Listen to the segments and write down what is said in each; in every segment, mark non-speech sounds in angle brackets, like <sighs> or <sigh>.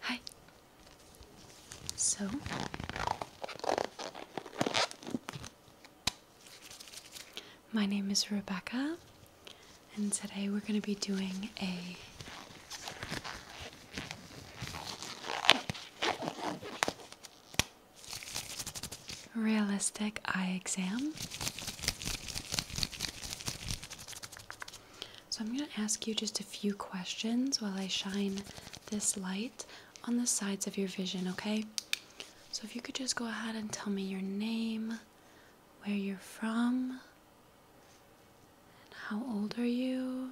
Hi. So my name is Rebecca, and today we're going to be doing a realistic eye exam. So, I'm going to ask you just a few questions while I shine this light on the sides of your vision, okay? So, if you could just go ahead and tell me your name, where you're from, and how old are you?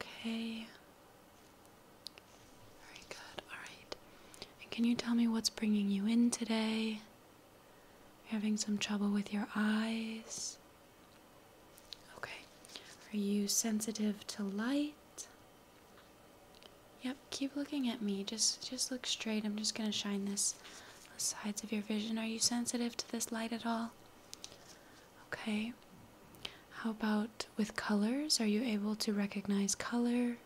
Okay. Very good. All right. And can you tell me what's bringing you in today? You're having some trouble with your eyes. Okay. Are you sensitive to light? Yep, keep looking at me. Just just look straight. I'm just going to shine this the sides of your vision. Are you sensitive to this light at all? Okay. How about with colors? Are you able to recognize color?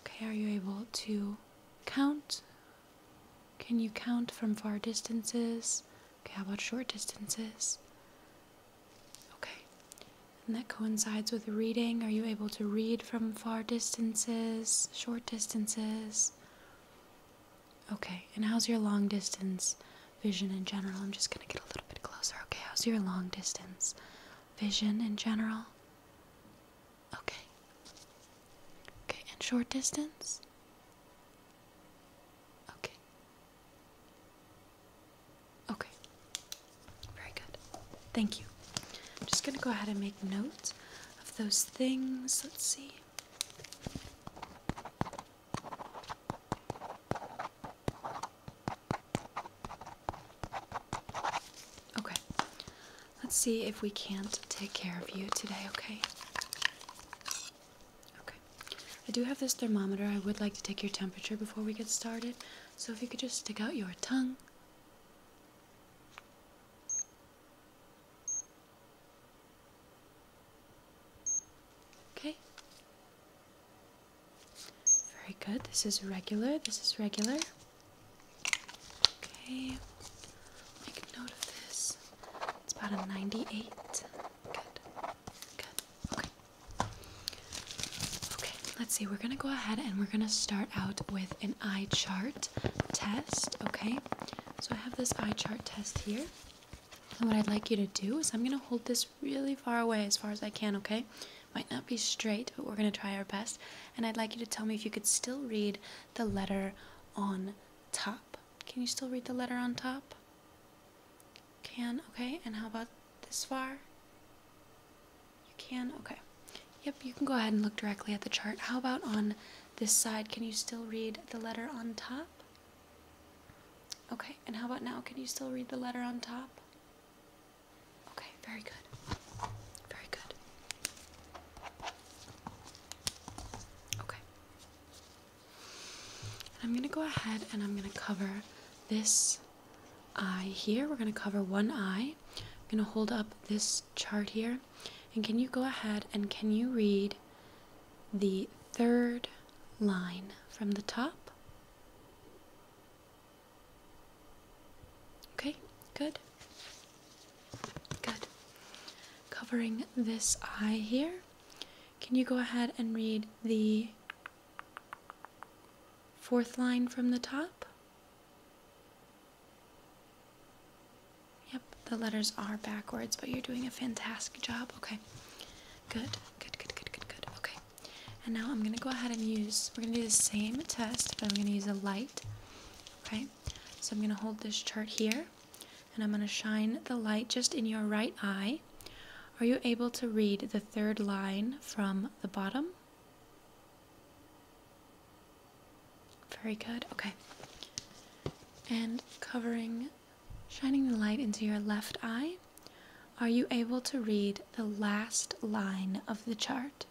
Okay, are you able to count? Can you count from far distances? Okay, how about short distances? Okay, and that coincides with reading. Are you able to read from far distances, short distances? Okay, and how's your long distance vision in general? I'm just gonna get a little bit closer. Okay, how's your long distance vision in general? Okay. Okay, and short distance? Okay. Okay. Very good. Thank you. I'm just going to go ahead and make notes of those things. Let's see. Okay, let's see if we can't take care of you today, okay? Okay, I do have this thermometer. I would like to take your temperature before we get started, so if you could just stick out your tongue. Okay, very good. This is regular. This is regular. Okay. Make note of this. It's about a 98. Good. Good. Okay. Okay, let's see. We're going to go ahead and we're going to start out with an eye chart test, okay? So I have this eye chart test here. And what I'd like you to do is I'm going to hold this really far away as far as I can, okay? Might not be straight, but we're going to try our best. And I'd like you to tell me if you could still read the letter on top. Can you still read the letter on top? Can, okay. And how about this far? You can, okay. Yep, you can go ahead and look directly at the chart. How about on this side? Can you still read the letter on top? Okay, and how about now? Can you still read the letter on top? Okay, very good. Very good. Okay. And I'm going to go ahead and I'm going to cover this eye here. We're going to cover one eye. I'm going to hold up this chart here. And can you go ahead and can you read the third line from the top? Okay, good. Good. Covering this eye here, can you go ahead and read the fourth line from the top? Yep, the letters are backwards, but you're doing a fantastic job. Okay, good, good, good, good, good, good. Okay, and now I'm going to go ahead and use, we're going to do the same test, but I'm going to use a light. Okay, so I'm going to hold this chart here, and I'm going to shine the light just in your right eye. Are you able to read the third line from the bottom? Very good, okay. And covering, shining the light into your left eye are you able to read the last line of the chart?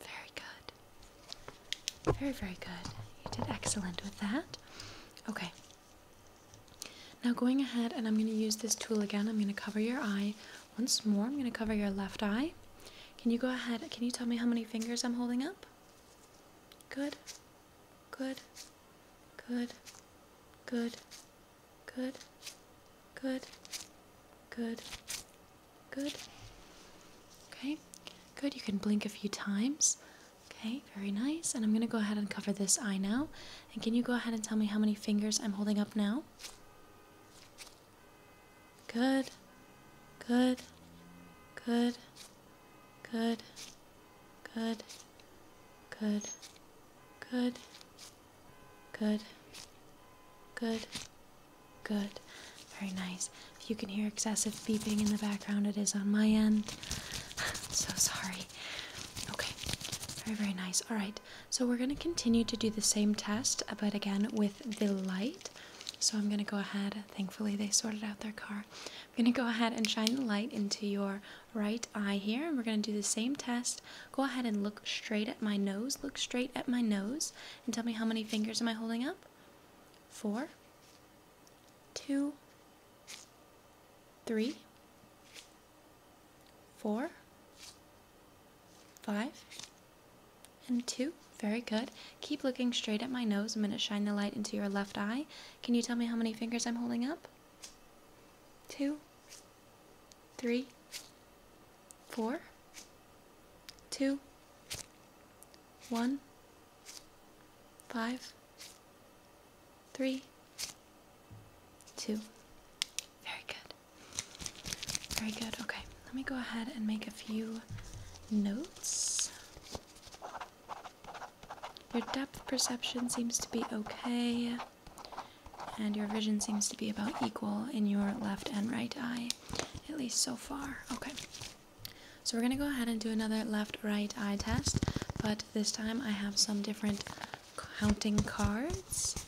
Very good. Very, very good. You did excellent with that. Okay. Now, going ahead, and I'm going to use this tool again. I'm going to cover your eye once more. I'm going to cover your left eye. Can you go ahead? Can you tell me how many fingers I'm holding up? Good good, good, good, good, good, good, good. Okay, good. You can blink a few times. Okay, very nice. And I'm going to go ahead and cover this eye now. And can you go ahead and tell me how many fingers I'm holding up now? Good, good, good, good, good, good, good, good, good, good. Very nice. If you can hear excessive beeping in the background, it is on my end. <sighs> so sorry. Okay, very, very nice. All right, so we're going to continue to do the same test, but again with the light. So I'm going to go ahead. Thankfully, they sorted out their car. I'm going to go ahead and shine the light into your right eye here, and we're going to do the same test. Go ahead and look straight at my nose. Look straight at my nose and tell me how many fingers am I holding up? Four, two, three, four, five, and two. Very good. Keep looking straight at my nose. I'm going to shine the light into your left eye. Can you tell me how many fingers I'm holding up? Two, three, four, two, one, five, three, two. Very good. Very good. Okay, let me go ahead and make a few notes. Your depth perception seems to be okay, and your vision seems to be about equal in your left and right eye, at least so far. Okay. So we're going to go ahead and do another left-right eye test, but this time I have some different counting cards.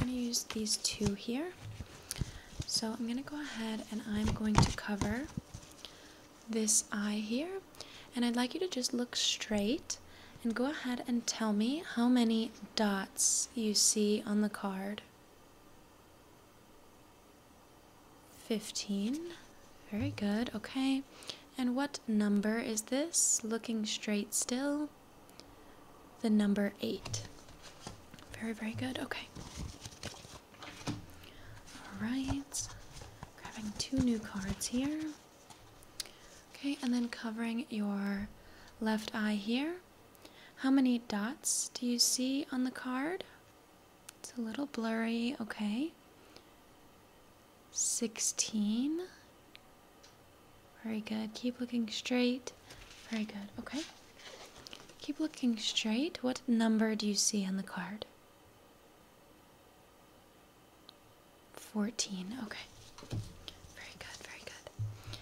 I'm going to use these two here. So I'm going to go ahead and I'm going to cover this eye here. And I'd like you to just look straight and go ahead and tell me how many dots you see on the card. 15. Very good. Okay. And what number is this? Looking straight still. The number 8. Very, very good. Okay. Alright, grabbing two new cards here. Okay, and then covering your left eye here. How many dots do you see on the card? It's a little blurry, okay. 16. Very good. Keep looking straight. Very good. Okay. Keep looking straight. What number do you see on the card? 14. Okay. Very good. Very good.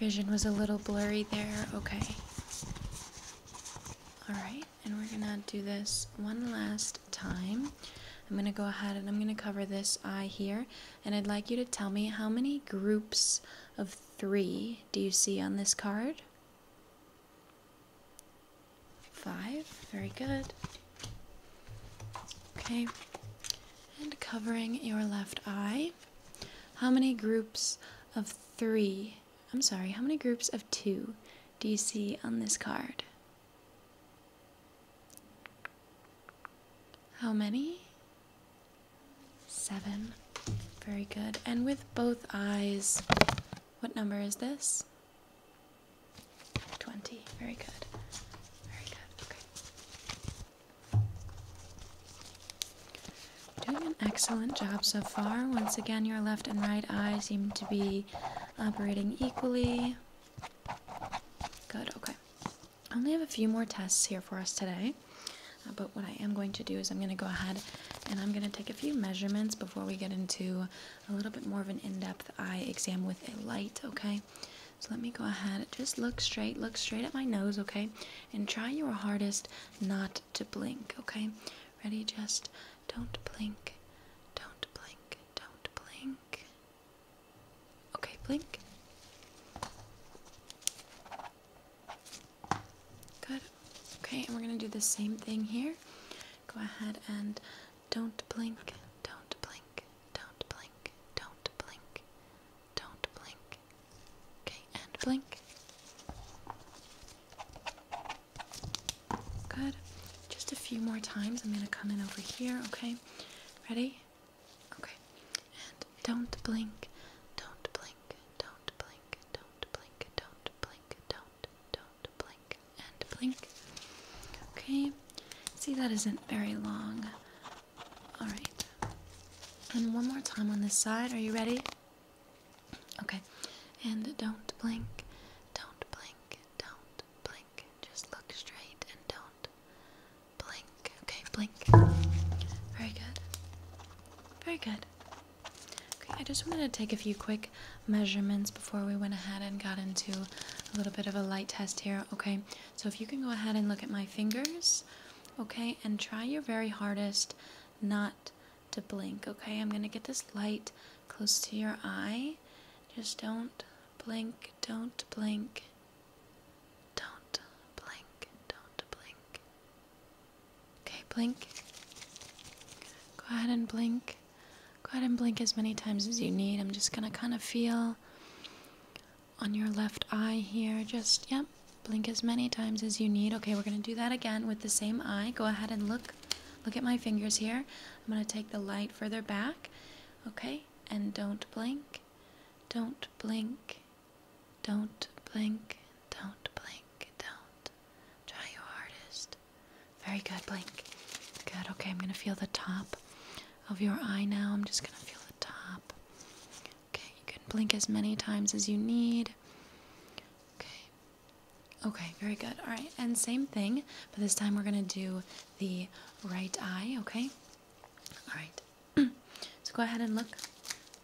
Vision was a little blurry there. Okay. All right. And we're going to do this one last time. I'm going to go ahead and I'm going to cover this eye here. And I'd like you to tell me how many groups of three do you see on this card? Five, very good. Okay, and covering your left eye. How many groups of three, I'm sorry, how many groups of two do you see on this card? How many? Seven. Very good. And with both eyes, what number is this? 20. Very good. Very good. Okay. Doing an excellent job so far. Once again, your left and right eye seem to be operating equally. Good. Okay. I only have a few more tests here for us today. Uh, but what I am going to do is I'm going to go ahead and I'm going to take a few measurements before we get into a little bit more of an in-depth eye exam with a light, okay? So let me go ahead. Just look straight. Look straight at my nose, okay? And try your hardest not to blink, okay? Ready? Just don't blink. Don't blink. Don't blink. Okay, blink. Good. Okay, and we're going to do the same thing here. Go ahead and don't blink, don't blink, don't blink, don't blink, don't blink. Okay, and blink. Good. Just a few more times. I'm going to come in over here, okay? Ready? Okay. Don't blink. Don't blink. Don't blink. Don't blink. Don't blink. Don't. Don't blink. And blink. Okay. See, that isn't very long. All right. And one more time on this side. Are you ready? Okay. And don't blink. Don't blink. Don't blink. Just look straight and don't. Blink. Okay, blink. Very good. Very good. Okay, I just wanted to take a few quick measurements before we went ahead and got into a little bit of a light test here. Okay, so if you can go ahead and look at my fingers, okay, and try your very hardest not to blink. Okay, I'm gonna get this light close to your eye. Just don't blink, don't blink, don't blink, don't blink. Okay, blink. Go ahead and blink. Go ahead and blink as many times as you need. I'm just gonna kind of feel on your left eye here. Just, yep, blink as many times as you need. Okay, we're gonna do that again with the same eye. Go ahead and look. Look at my fingers here. I'm gonna take the light further back. Okay, and don't blink. Don't blink. Don't blink, don't blink, don't. Try your hardest. Very good, blink. Good, okay, I'm gonna feel the top of your eye now. I'm just gonna feel the top. Okay, you can blink as many times as you need. Okay, okay, very good. All right, and same thing, but this time we're gonna do the right eye, okay? All right, so go ahead and look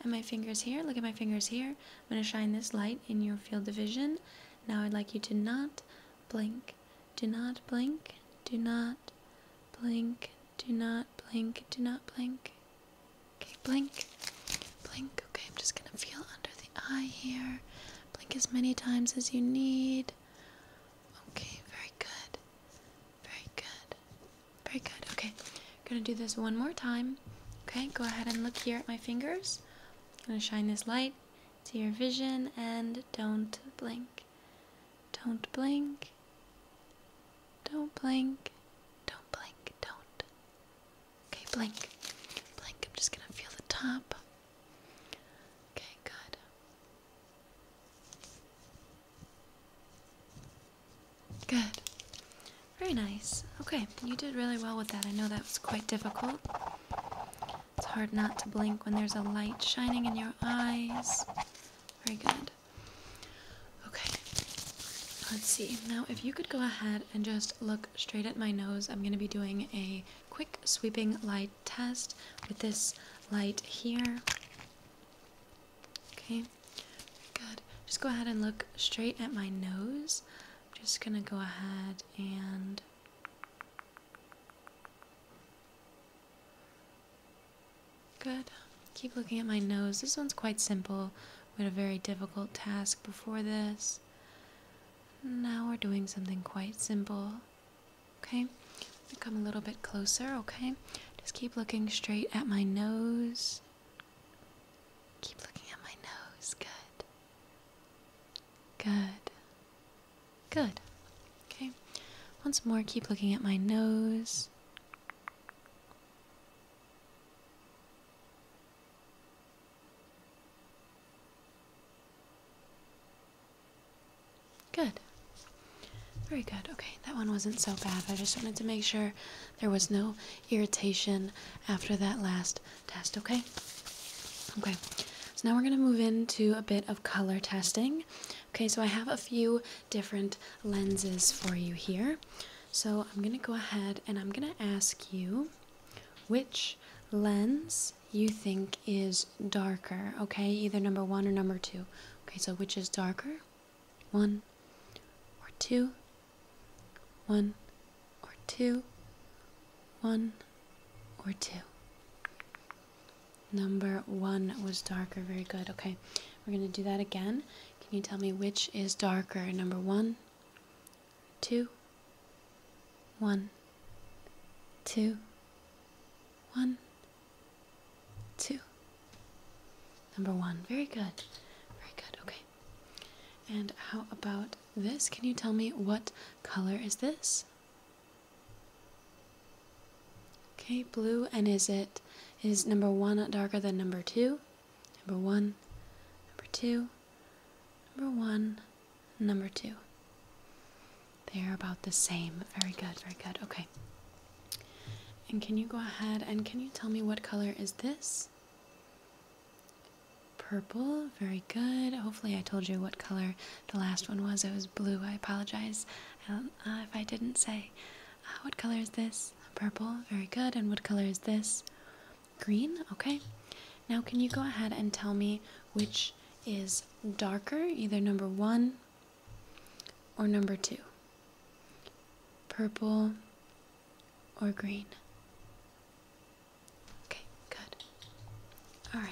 at my fingers here. Look at my fingers here. I'm going to shine this light in your field of vision. Now I'd like you to not blink. Do not blink. Do not blink. Do not blink. Do not blink. Okay, blink. Blink. Okay, I'm just going to feel under the eye here. Blink as many times as you need. Okay, very good. Very good. Very good. Okay, I'm gonna do this one more time. Okay, go ahead and look here at my fingers. i gonna shine this light to your vision and don't blink. Don't blink. Don't blink. Don't blink. Don't. Okay, blink. Blink. I'm just gonna feel the top. Okay, good. Good. Very nice. Okay, you did really well with that. I know that was quite difficult. It's hard not to blink when there's a light shining in your eyes. Very good. Okay, let's see. Now, if you could go ahead and just look straight at my nose, I'm going to be doing a quick sweeping light test with this light here. Okay, good. Just go ahead and look straight at my nose. I'm just gonna go ahead and Good. Keep looking at my nose. This one's quite simple. We had a very difficult task before this. Now we're doing something quite simple. Okay? Come a little bit closer, okay? Just keep looking straight at my nose. Keep looking at my nose. Good. Good. Good. Okay. Once more, keep looking at my nose. Good. Very good. Okay, that one wasn't so bad. I just wanted to make sure there was no irritation after that last test, okay? Okay, so now we're going to move into a bit of color testing. Okay, so I have a few different lenses for you here. So I'm going to go ahead and I'm going to ask you which lens you think is darker, okay? Either number one or number two. Okay, so which is darker? one or two, one or two, one or two. Number one was darker. Very good. Okay, we're going to do that again. Can you tell me which is darker? Number one, two, one, two, one, Two. Number one. Very good. Very good. Okay. And how about this? Can you tell me what color is this? Okay, blue. And is it is number one darker than number two? Number one, number two, number one, number two. They are about the same. Very good, very good. Okay. And can you go ahead and can you tell me what color is this? Purple, very good. Hopefully, I told you what color the last one was. It was blue. I apologize um, uh, if I didn't say. Uh, what color is this? Purple, very good. And what color is this? Green, okay. Now, can you go ahead and tell me which is darker, either number one or number two? Purple or green? Okay, good. All right.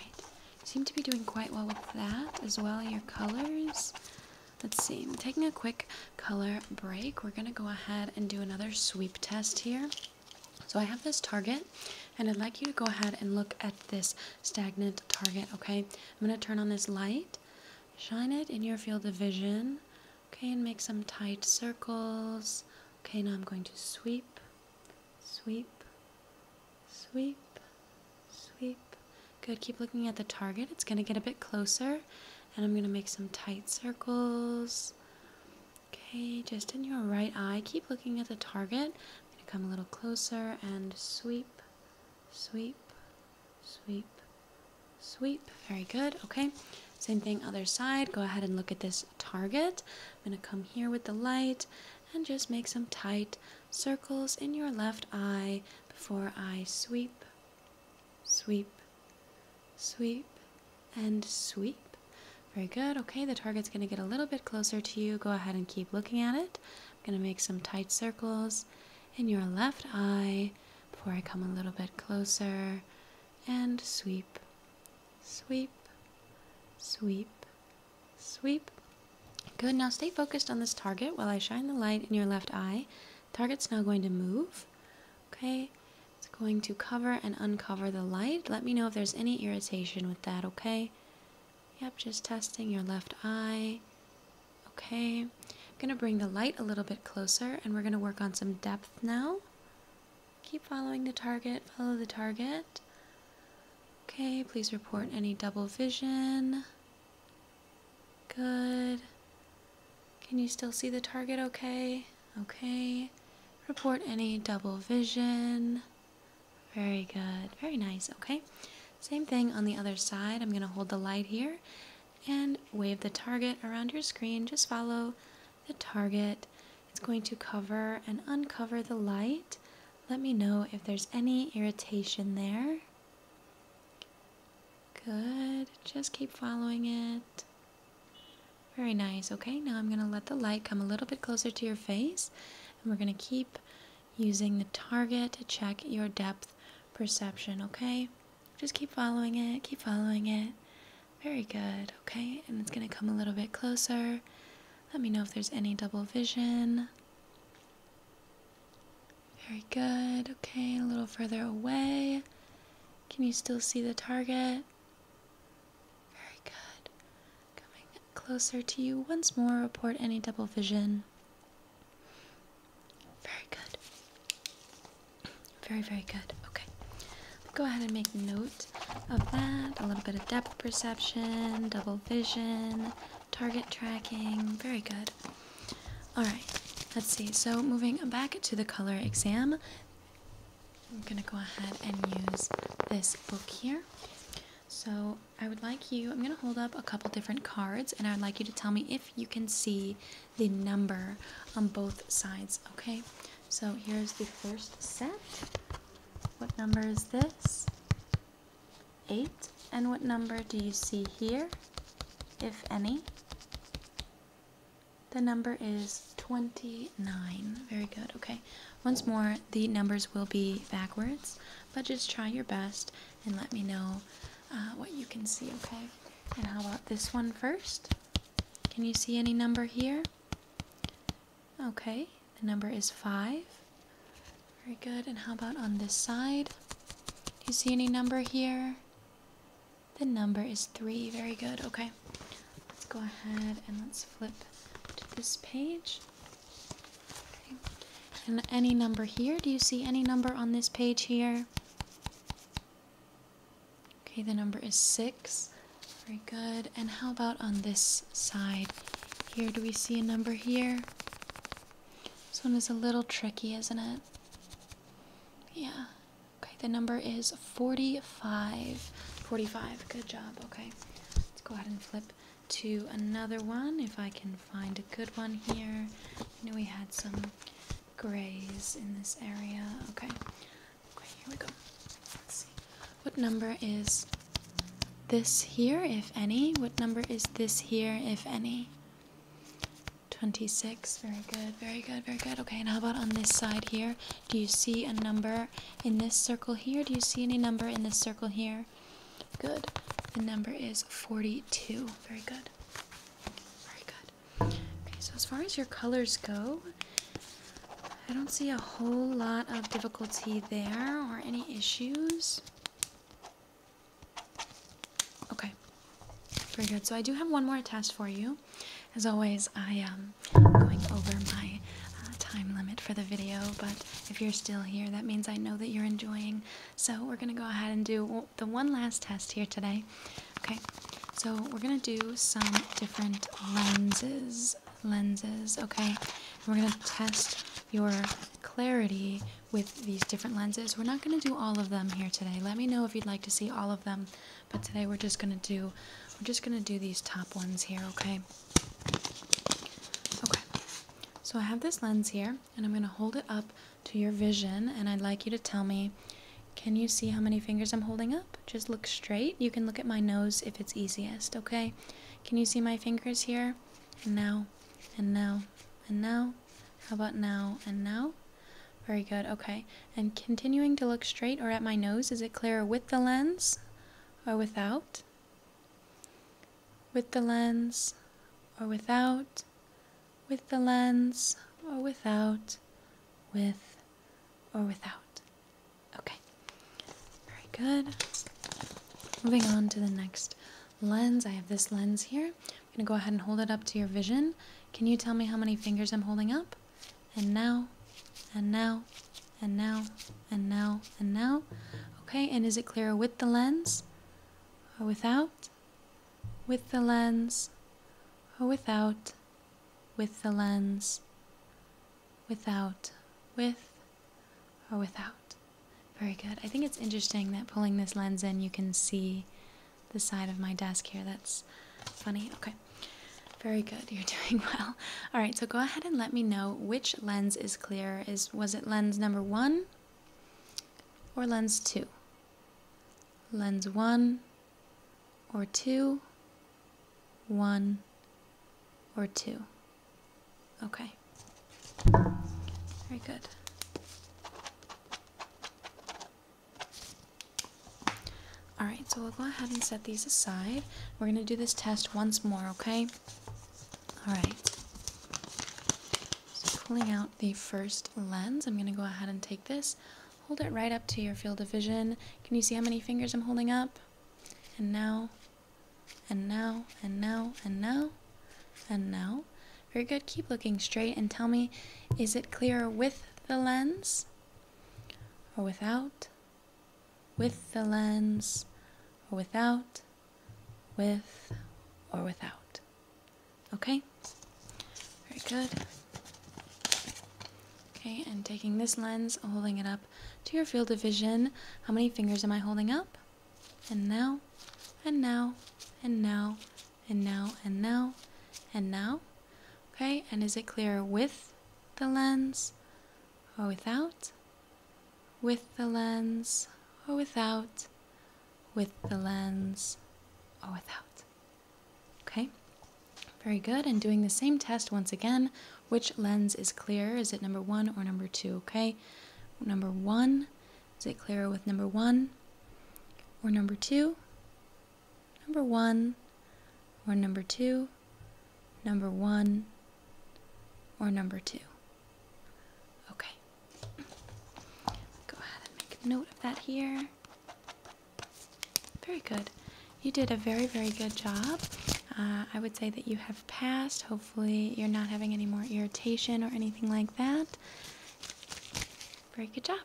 Seem to be doing quite well with that as well, your colors. Let's see, taking a quick color break. We're gonna go ahead and do another sweep test here. So I have this target and I'd like you to go ahead and look at this stagnant target, okay? I'm going to turn on this light, shine it in your field of vision, okay, and make some tight circles. Okay, now I'm going to sweep, sweep, sweep, sweep. Good, keep looking at the target. It's going to get a bit closer, and I'm going to make some tight circles. Okay, just in your right eye, keep looking at the target. I'm going to come a little closer and sweep, sweep, sweep, sweep. Very good. Okay. Same thing, other side. Go ahead and look at this target. I'm going to come here with the light and just make some tight circles in your left eye before I sweep, sweep, sweep, and sweep. Very good. Okay, the target's going to get a little bit closer to you. Go ahead and keep looking at it. I'm going to make some tight circles in your left eye before I come a little bit closer and sweep, sweep, sweep, sweep. Good, now stay focused on this target while I shine the light in your left eye. Target's now going to move, okay? It's going to cover and uncover the light. Let me know if there's any irritation with that, okay? Yep, just testing your left eye. Okay, I'm going to bring the light a little bit closer and we're going to work on some depth now. Keep following the target, follow the target. Okay, please report any double vision. Good. Can you still see the target okay? Okay. Report any double vision. Very good. Very nice. Okay. Same thing on the other side. I'm going to hold the light here and wave the target around your screen. Just follow the target. It's going to cover and uncover the light. Let me know if there's any irritation there. Good. Just keep following it. Very nice. Okay, now I'm going to let the light come a little bit closer to your face. And we're going to keep using the target to check your depth perception, okay? Just keep following it, keep following it. Very good, okay? And it's gonna come a little bit closer. Let me know if there's any double vision. Very good, okay, a little further away. Can you still see the target? Very good. Coming closer to you once more, report any double vision. Very good. Very, very good. Okay. Go ahead and make note of that. A little bit of depth perception, double vision, target tracking. Very good. All right. Let's see. So, moving back to the color exam, I'm going to go ahead and use this book here. So, I would like you, I'm going to hold up a couple different cards and I would like you to tell me if you can see the number on both sides, okay? So here's the first set. What number is this? Eight. And what number do you see here, if any? The number is 29. Very good. Okay. Once more, the numbers will be backwards but just try your best and let me know uh, what you can see, okay? And how about this one first? Can you see any number here? Okay, the number is 5. Very good. And how about on this side? Do you see any number here? The number is 3. Very good. Okay. Let's go ahead and let's flip to this page. And any number here? Do you see any number on this page here? Okay, the number is 6. Very good. And how about on this side? Here, do we see a number here? This one is a little tricky, isn't it? Yeah. Okay, the number is 45. 45. Good job. Okay. Let's go ahead and flip to another one if I can find a good one here. I know we had some grays in this area. Okay. Okay, here we go. Let's see. What number is this here, if any? What number is this here, if any? 26. Very good, very good, very good. Okay, and how about on this side here? Do you see a number in this circle here? Do you see any number in this circle here? Good. The number is 42. Very good. Very good. Okay, so as far as your colors go, I don't see a whole lot of difficulty there or any issues. Okay, very good. So I do have one more test for you. As always, I am going over my uh, time limit for the video, but if you're still here, that means I know that you're enjoying. So we're going to go ahead and do the one last test here today. Okay, so we're going to do some different lenses. Lenses, okay? we're going to test your clarity with these different lenses. We're not going to do all of them here today. Let me know if you'd like to see all of them, but today we're just going to do we're just going to do these top ones here, okay? Okay, so I have this lens here, and I'm going to hold it up to your vision, and I'd like you to tell me can you see how many fingers I'm holding up? Just look straight. You can look at my nose if it's easiest, okay? Can you see my fingers here? And now, and now, and now. How about now and now? Very good, okay. And continuing to look straight or at my nose, is it clearer with the lens or without? With the lens or without, with the lens or without, with or without. Okay, very good. Moving on to the next lens. I have this lens here. I'm going to go ahead and hold it up to your vision. Can you tell me how many fingers I'm holding up? and now, and now, and now, and now, and now. Okay, and is it clearer with the lens or without? With the lens or without? With the lens, without, with or without. Very good. I think it's interesting that pulling this lens in, you can see the side of my desk here. That's funny. Okay. Very good. You're <laughs> doing well. All right, so go ahead and let me know which lens is clear. Is was it lens number 1 or lens 2? Lens 1 or 2? 1 or 2. Okay. Very good. Alright, so we'll go ahead and set these aside. We're going to do this test once more, okay? Alright. pulling out the first lens, I'm going to go ahead and take this, hold it right up to your field of vision. Can you see how many fingers I'm holding up? And now, and now, and now, and now, and now. Very good. Keep looking straight and tell me, is it clearer with the lens or without? with the lens or without, with or without. Okay? Very good. Okay, and taking this lens, holding it up to your field of vision. How many fingers am I holding up? And now, and now, and now, and now, and now, and now. Okay, and is it clear with the lens or without, with the lens or without, with the lens or without. Okay? Very good. And doing the same test once again. Which lens is clear? Is it number one or number two? Okay? Number one. Is it clearer with number one or number two? number one, or number two, number one, or number two. Okay. Go ahead and make a note of that here. Very good. You did a very, very good job. Uh, I would say that you have passed. Hopefully, you're not having any more irritation or anything like that. Very good job.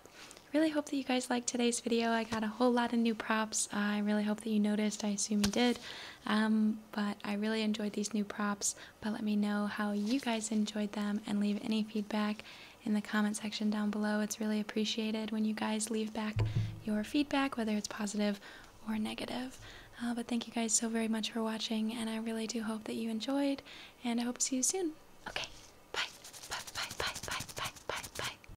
Really hope that you guys liked today's video. I got a a whole lot of new props. I really hope that you noticed. I assume you did. Um, but I really enjoyed these new props. But let me know how you guys enjoyed them and leave any feedback in the comment section down below. It's really appreciated when you guys leave back your feedback, whether it's positive or negative. Uh, but thank you guys so very much for watching, and I really do hope that you enjoyed, and I hope to see you soon. Okay, bye, bye, bye, bye, bye, bye, bye, bye.